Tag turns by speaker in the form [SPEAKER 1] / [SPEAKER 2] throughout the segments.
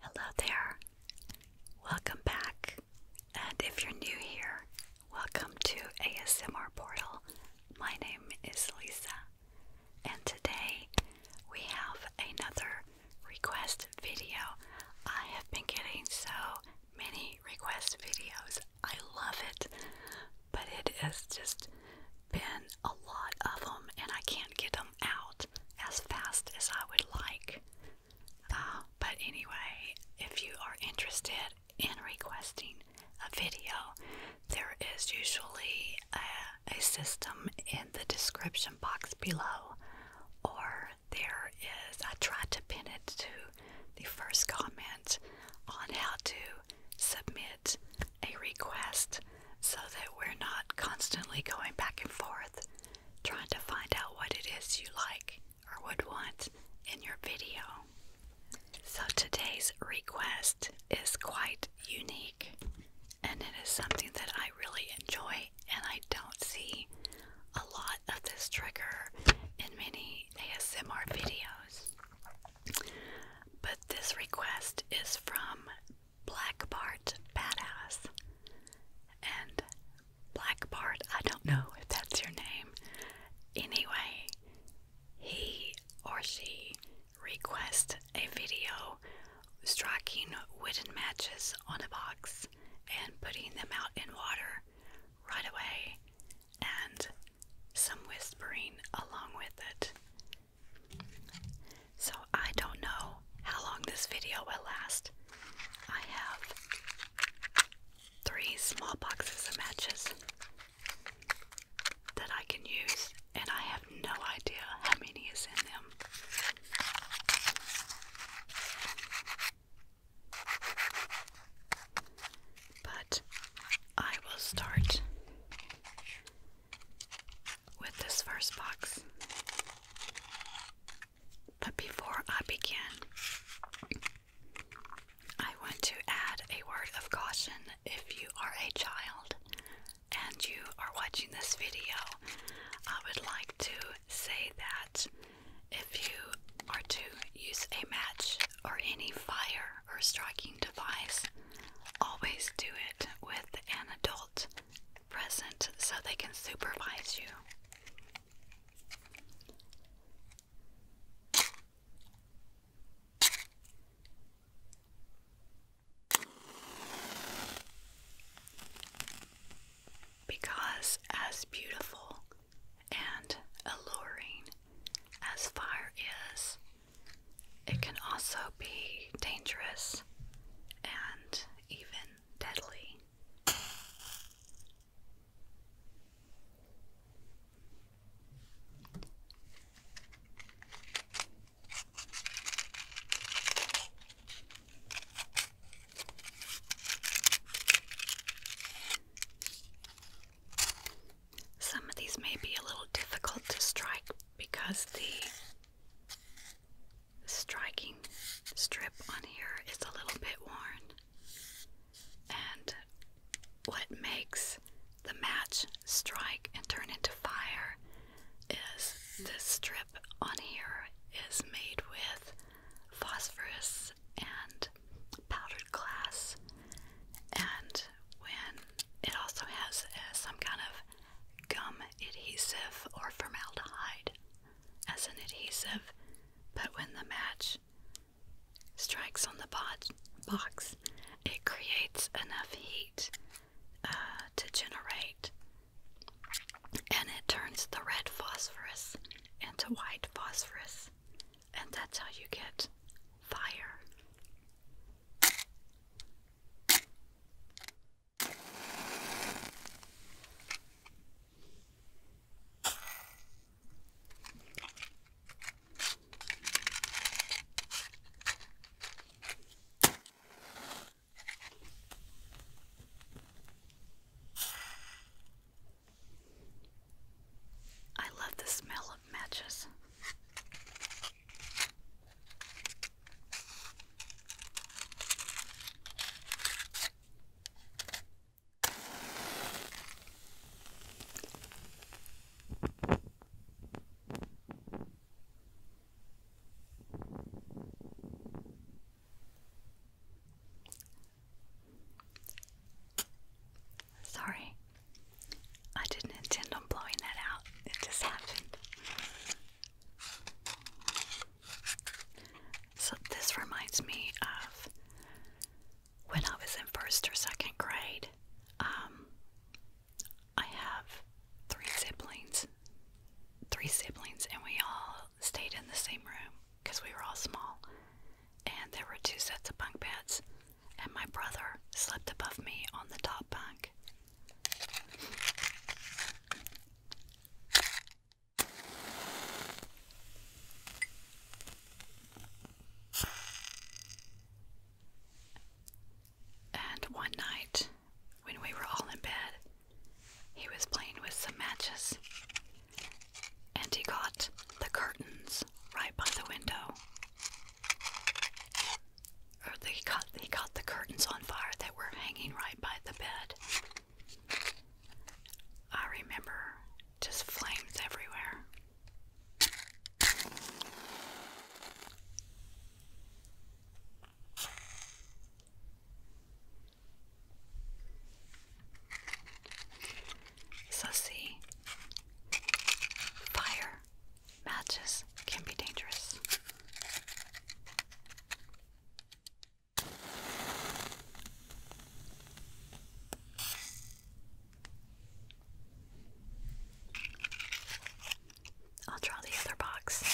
[SPEAKER 1] Hello there. Welcome back. And if you're new here, welcome to ASMR Portal. My name is Lisa and today we have another request video. I have been getting so many request videos, I love it, but it has just been a lot of them, and I can't get them out as fast as I would like. Uh, but anyway, if you are interested in requesting a video, there is usually a, system in the description box below, or there is, I tried to pin it to the first comment on how to submit a request so that we're not constantly going back and forth trying to find out what it is you like or would want in your video. So today's request is quite unique and it is something that I really enjoy, and I don't see a lot of this trigger in many ASMR videos. But this request is from Black Bart Badass. And Black Bart, I don't know if that's your name. Anyway, he or she request a video striking wooden matches on a box and putting them out in water right away and some whispering along with it. So I don't know how long this video will last. I have three small boxes of matches that I can use and I have no idea how many is in them. But I will start with this first box. But before I begin, I want to add a word of caution if you are a child and you are watching this video, I would like to say that if you are to use a match or any fire or striking device, always do it with an adult present so they can supervise you. Because, as beautiful and alluring as fire is, it can also be dangerous and even deadly. Some of these may be a little difficult to strike because the striking strip on here is a little bit worn. And what makes the match strike and turn into fire is this strip on here is made with phosphorus and powdered glass and when it also has uh, some kind of gum adhesive or formaldehyde as an adhesive but when the match strikes on the box it creates enough heat to generate, and it turns the red phosphorus into white phosphorus, and that's how you get fire. I love the smell of matches. Sorry, I didn't intend on blowing that out, it just happened. So, this reminds me of when I was in first or second grade. Um, I have three siblings. Three siblings, and we all stayed in the same room because we were all small. And there were two sets of bunk beds, and my brother slept above me on the top bunk. And one night, when we were all in bed, he was playing with some matches. And he got the curtains right by the window. Or they got, he got the curtains on fire that were hanging right by the bed. I remember just flames everywhere. Sussy. Fire matches can be dangerous. I'll draw the other box.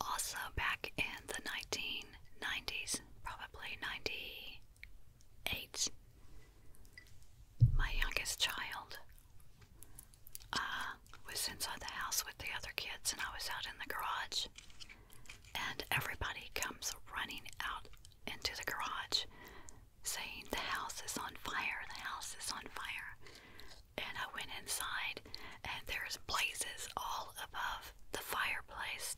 [SPEAKER 1] Also, back in the 1990s, probably 98, my youngest child uh, was inside the house with the other kids, and I was out in the garage. And everybody comes running out into the garage saying, The house is on fire, the house is on fire. And I went inside, and there's blazes all above the fireplace.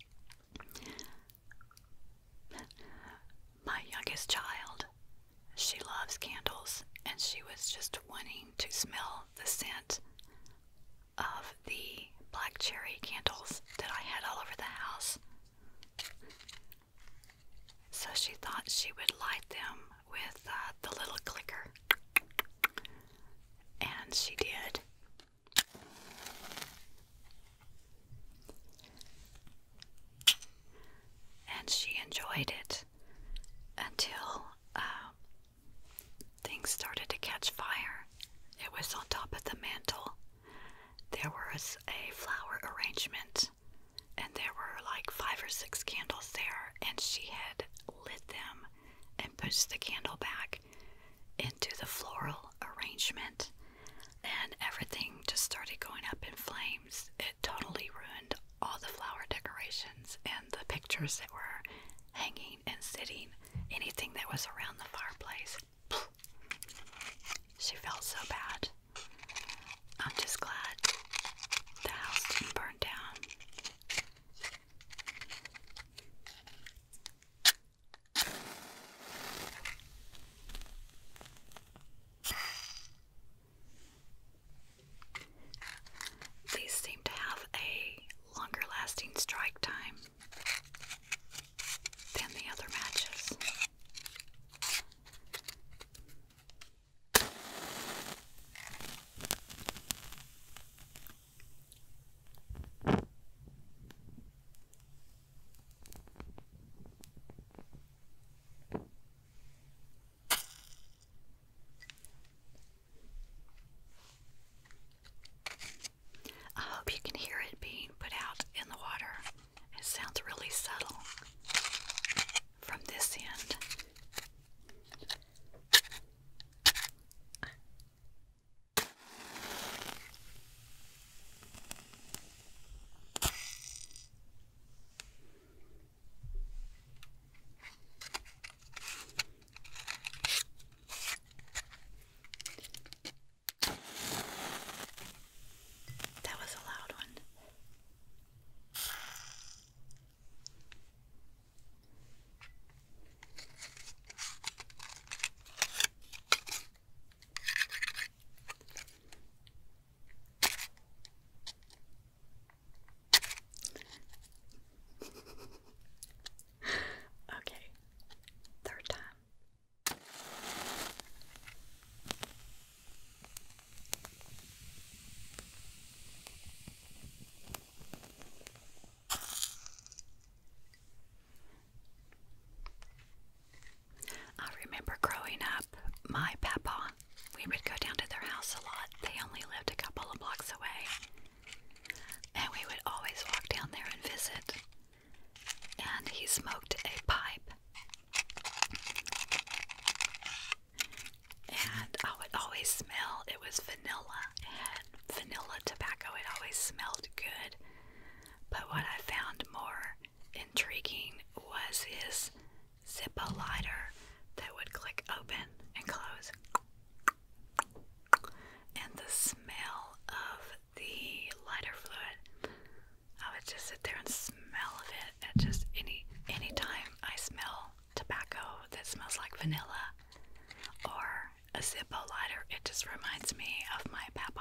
[SPEAKER 1] My youngest child, she loves candles, and she was just wanting to smell the scent of the black cherry candles that I had all over the house. So she thought she would light them with uh, the little clicker. And she did. And she enjoyed it until um, Things started to catch fire. It was on top of the mantle. There was a flower arrangement, and there were like five or six candles there, and she had lit them and pushed the candle back into the floral arrangement, and everything just started going up in flames. It totally ruined all the flower decorations and the pictures that were hanging and sitting, anything that was around the fireplace. She felt so bad. I'm just glad the house didn't burn down. These seem to have a longer lasting strike time than the other matches. I hope you can hear it being put out in the water. It sounds really subtle from this end. That was a loud one okay, third time. I remember growing up, my papa we would go down to their house a lot. They only lived a couple of blocks away. And we would always walk down there and visit. And he smoked a pipe. And I would always smell, it was vanilla. and vanilla tobacco. It always smelled good. But what I found more intriguing was his Zippo lighter that would click open and close. And the smell of the lighter fluid, I would just sit there and smell of it. At just any any time I smell tobacco that smells like vanilla or a Zippo lighter, it just reminds me of my papa.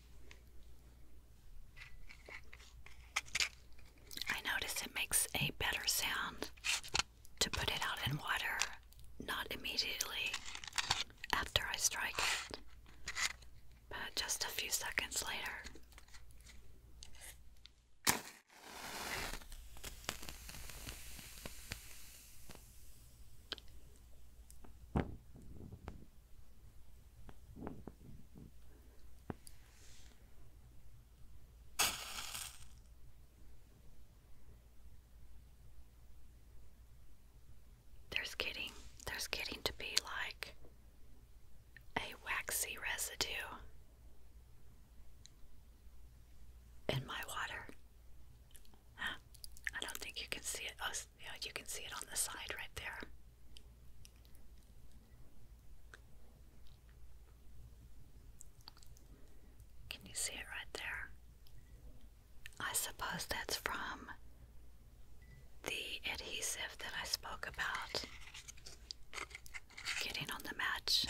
[SPEAKER 1] I notice it makes a better sound to put it out in water, not immediately after I strike it, but just a few seconds later. There's getting there's getting to be like a waxy residue in my water. I don't think you can see it. Oh, it's you you can see it on the side right there. Can you see it right there? I suppose that's from the adhesive that I spoke about getting on the match.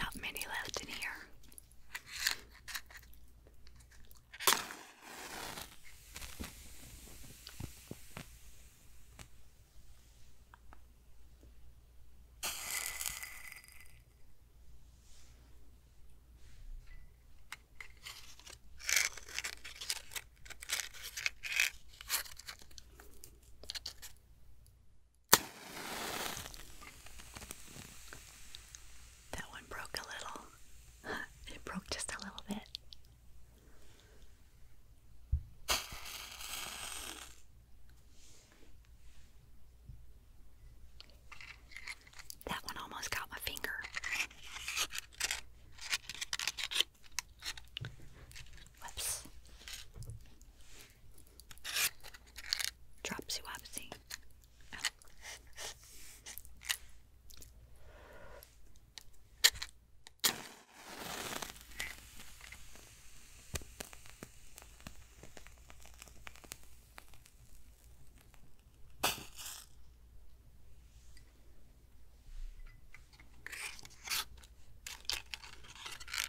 [SPEAKER 1] Not many left in here. That one broke a little. It broke just a little bit. That one almost got my finger. Whoops. Dropsy Wopsy. Oh.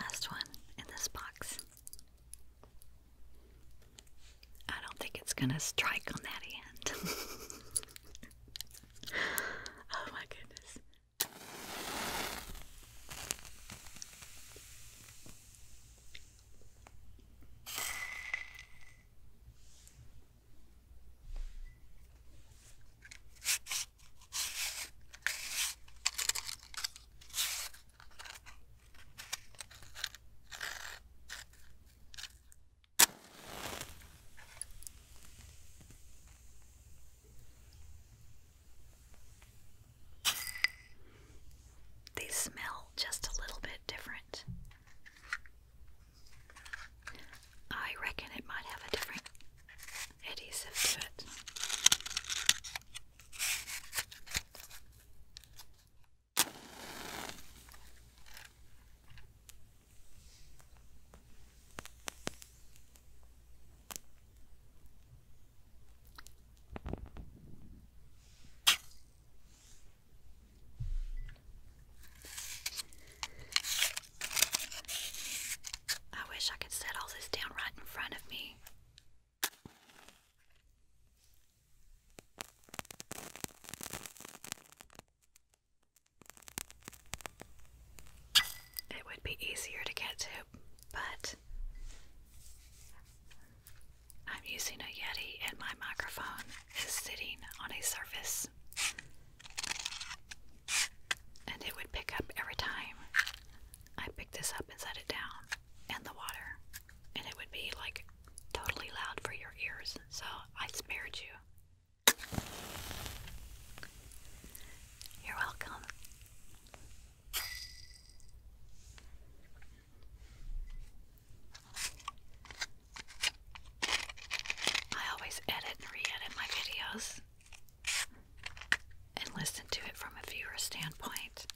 [SPEAKER 1] Last one in this box. I don't think it's going to strike on that end. oh my goodness. They smell just a little bit different. I reckon it might have a different adhesive to it. I wish I could set all this down right in front of me. It would be easier to get to, but I'm using a Yeti and my microphone is sitting on a surface and it would pick up every time I picked this up and set it down, and the water. And it would be like totally loud for your ears, so I spared you. You're welcome. I always edit and re edit my videos and listen to it from a viewer's standpoint.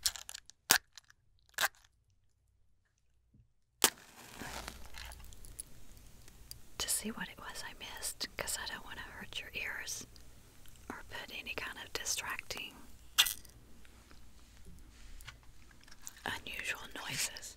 [SPEAKER 1] To see what it was I missed, because I don't want to hurt your ears or put any kind of distracting unusual noises.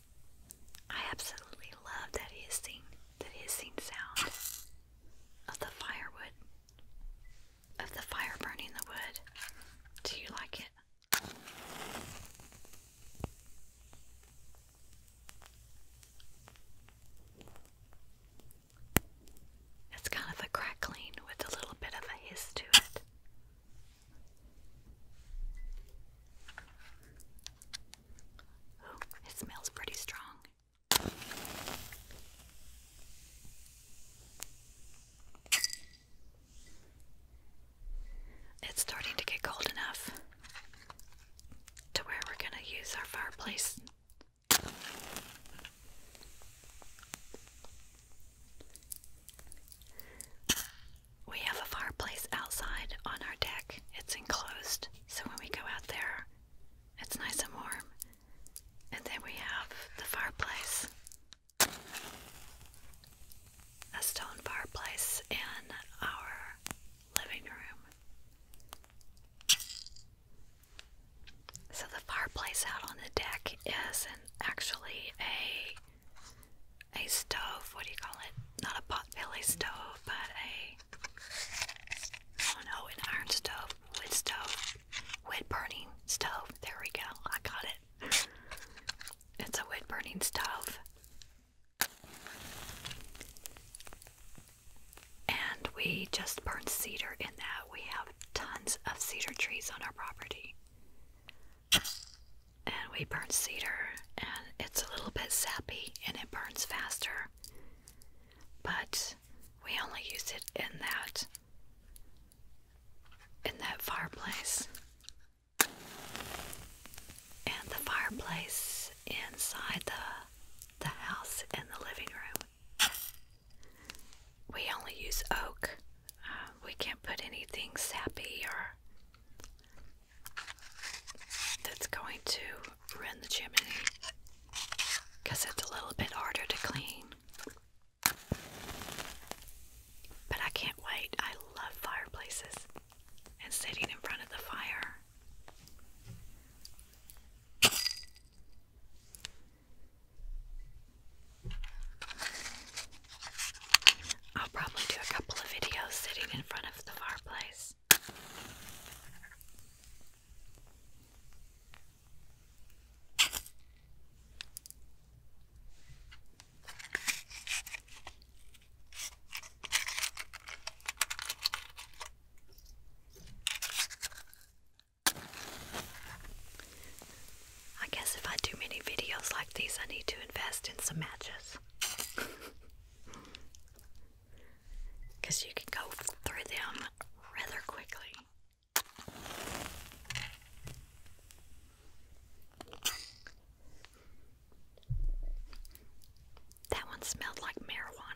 [SPEAKER 1] I absolutely love that hissing, that hissing sound of the firewood, of the fire burning the wood. Do you like it? It's kind of a crackling with a little bit of a hiss to it it smells pretty strong. It's starting to get cold enough to where we're going to use our fireplace. We have a fireplace outside on our deck. It's enclosed, so when we go out there, it's nice and warm. And then we have the fireplace a stone fireplace in our living room. So the fireplace out on the deck is actually a a stove, what do you call it? Not a pot, potbelly stove, but a. I don't an iron stove, wood stove, wood burning stove. There we go, I got it. It's a wood burning stove. And we just burn cedar in that. We have tons of cedar trees on our property and we burn cedar and it's a little bit sappy and it burns faster but we only use it in that in that fireplace and the fireplace inside the the house in the living room we only use oak uh, we can't put anything sappy or that's going to ruin the chimney because it's a little bit harder to clean. But I can't wait. I love fireplaces and sitting in front of the fire. I'll probably do a couple of videos sitting in front of the fireplace. I guess if I do many videos like these, I need to invest in some matches. Because you can go through them rather quickly. That one smelled like marijuana.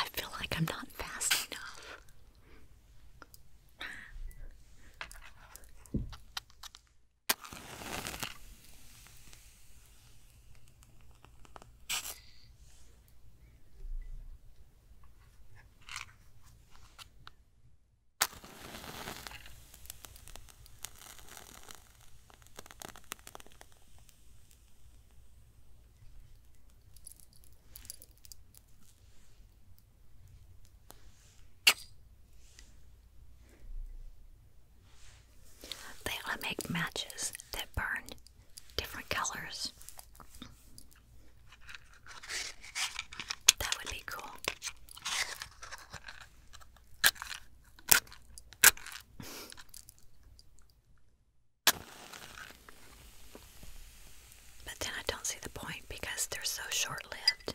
[SPEAKER 1] I feel like I'm not fast enough. They all make matches that burn different colors. That would be cool. But then I don't see the point because they're so short lived.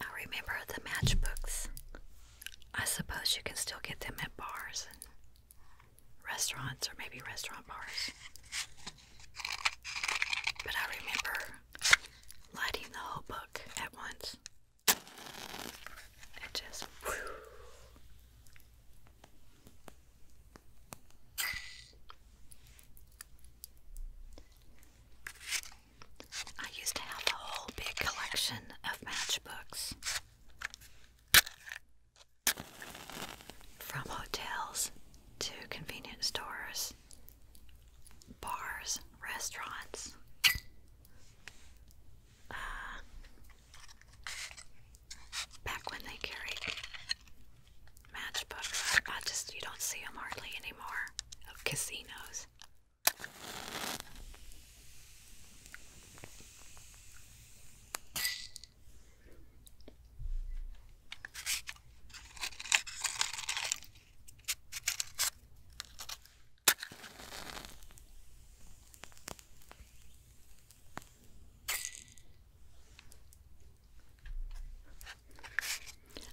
[SPEAKER 1] I remember the matchbooks. I suppose you can still get them at bars and restaurants, or maybe restaurant bars. But I remember lighting the whole book at once. It just I used to have a whole big collection of matchbooks from hotels to convenience stores, bars, restaurants, uh, Back when they carried matchbooks, I, I just you don't see them hardly anymore of casinos.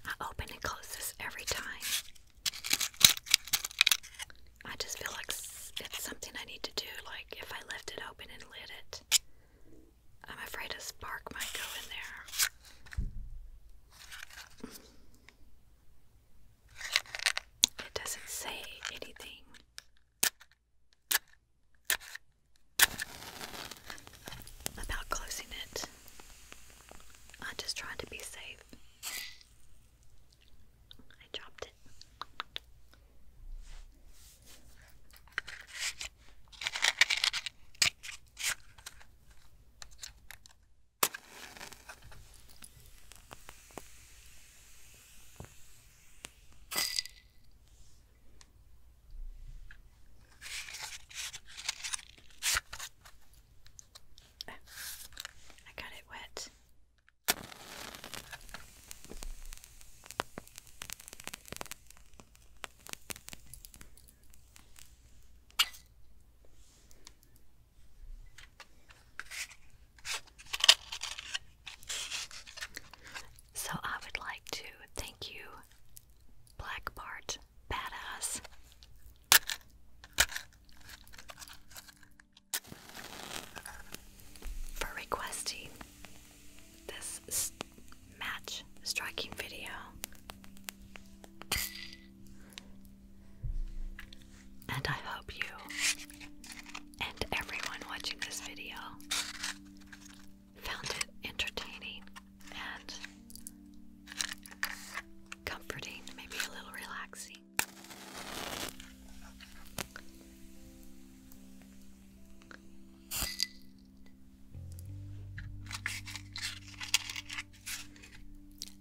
[SPEAKER 1] I open and close this every time. I just feel like it's something I need to do. Like if I left it open and lit it, I'm afraid a spark might go in there. It doesn't say anything about closing it. I just trying to be safe. I dropped it. Oh, I got it wet. So I would like to thank you, Black Bart Badass. For requesting this match striking video, and I hope you and everyone watching this video found it entertaining and comforting, maybe a little relaxing.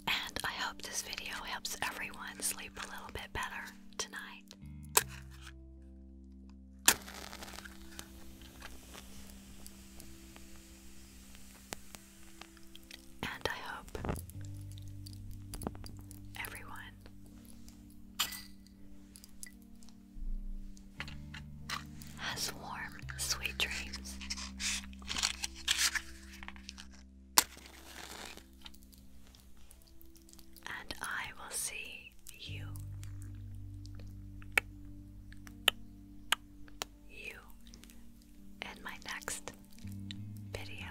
[SPEAKER 1] And I hope this video helps everyone sleep a little bit better tonight. And I hope everyone has warm, sweet dreams and I will see you. You in my next video.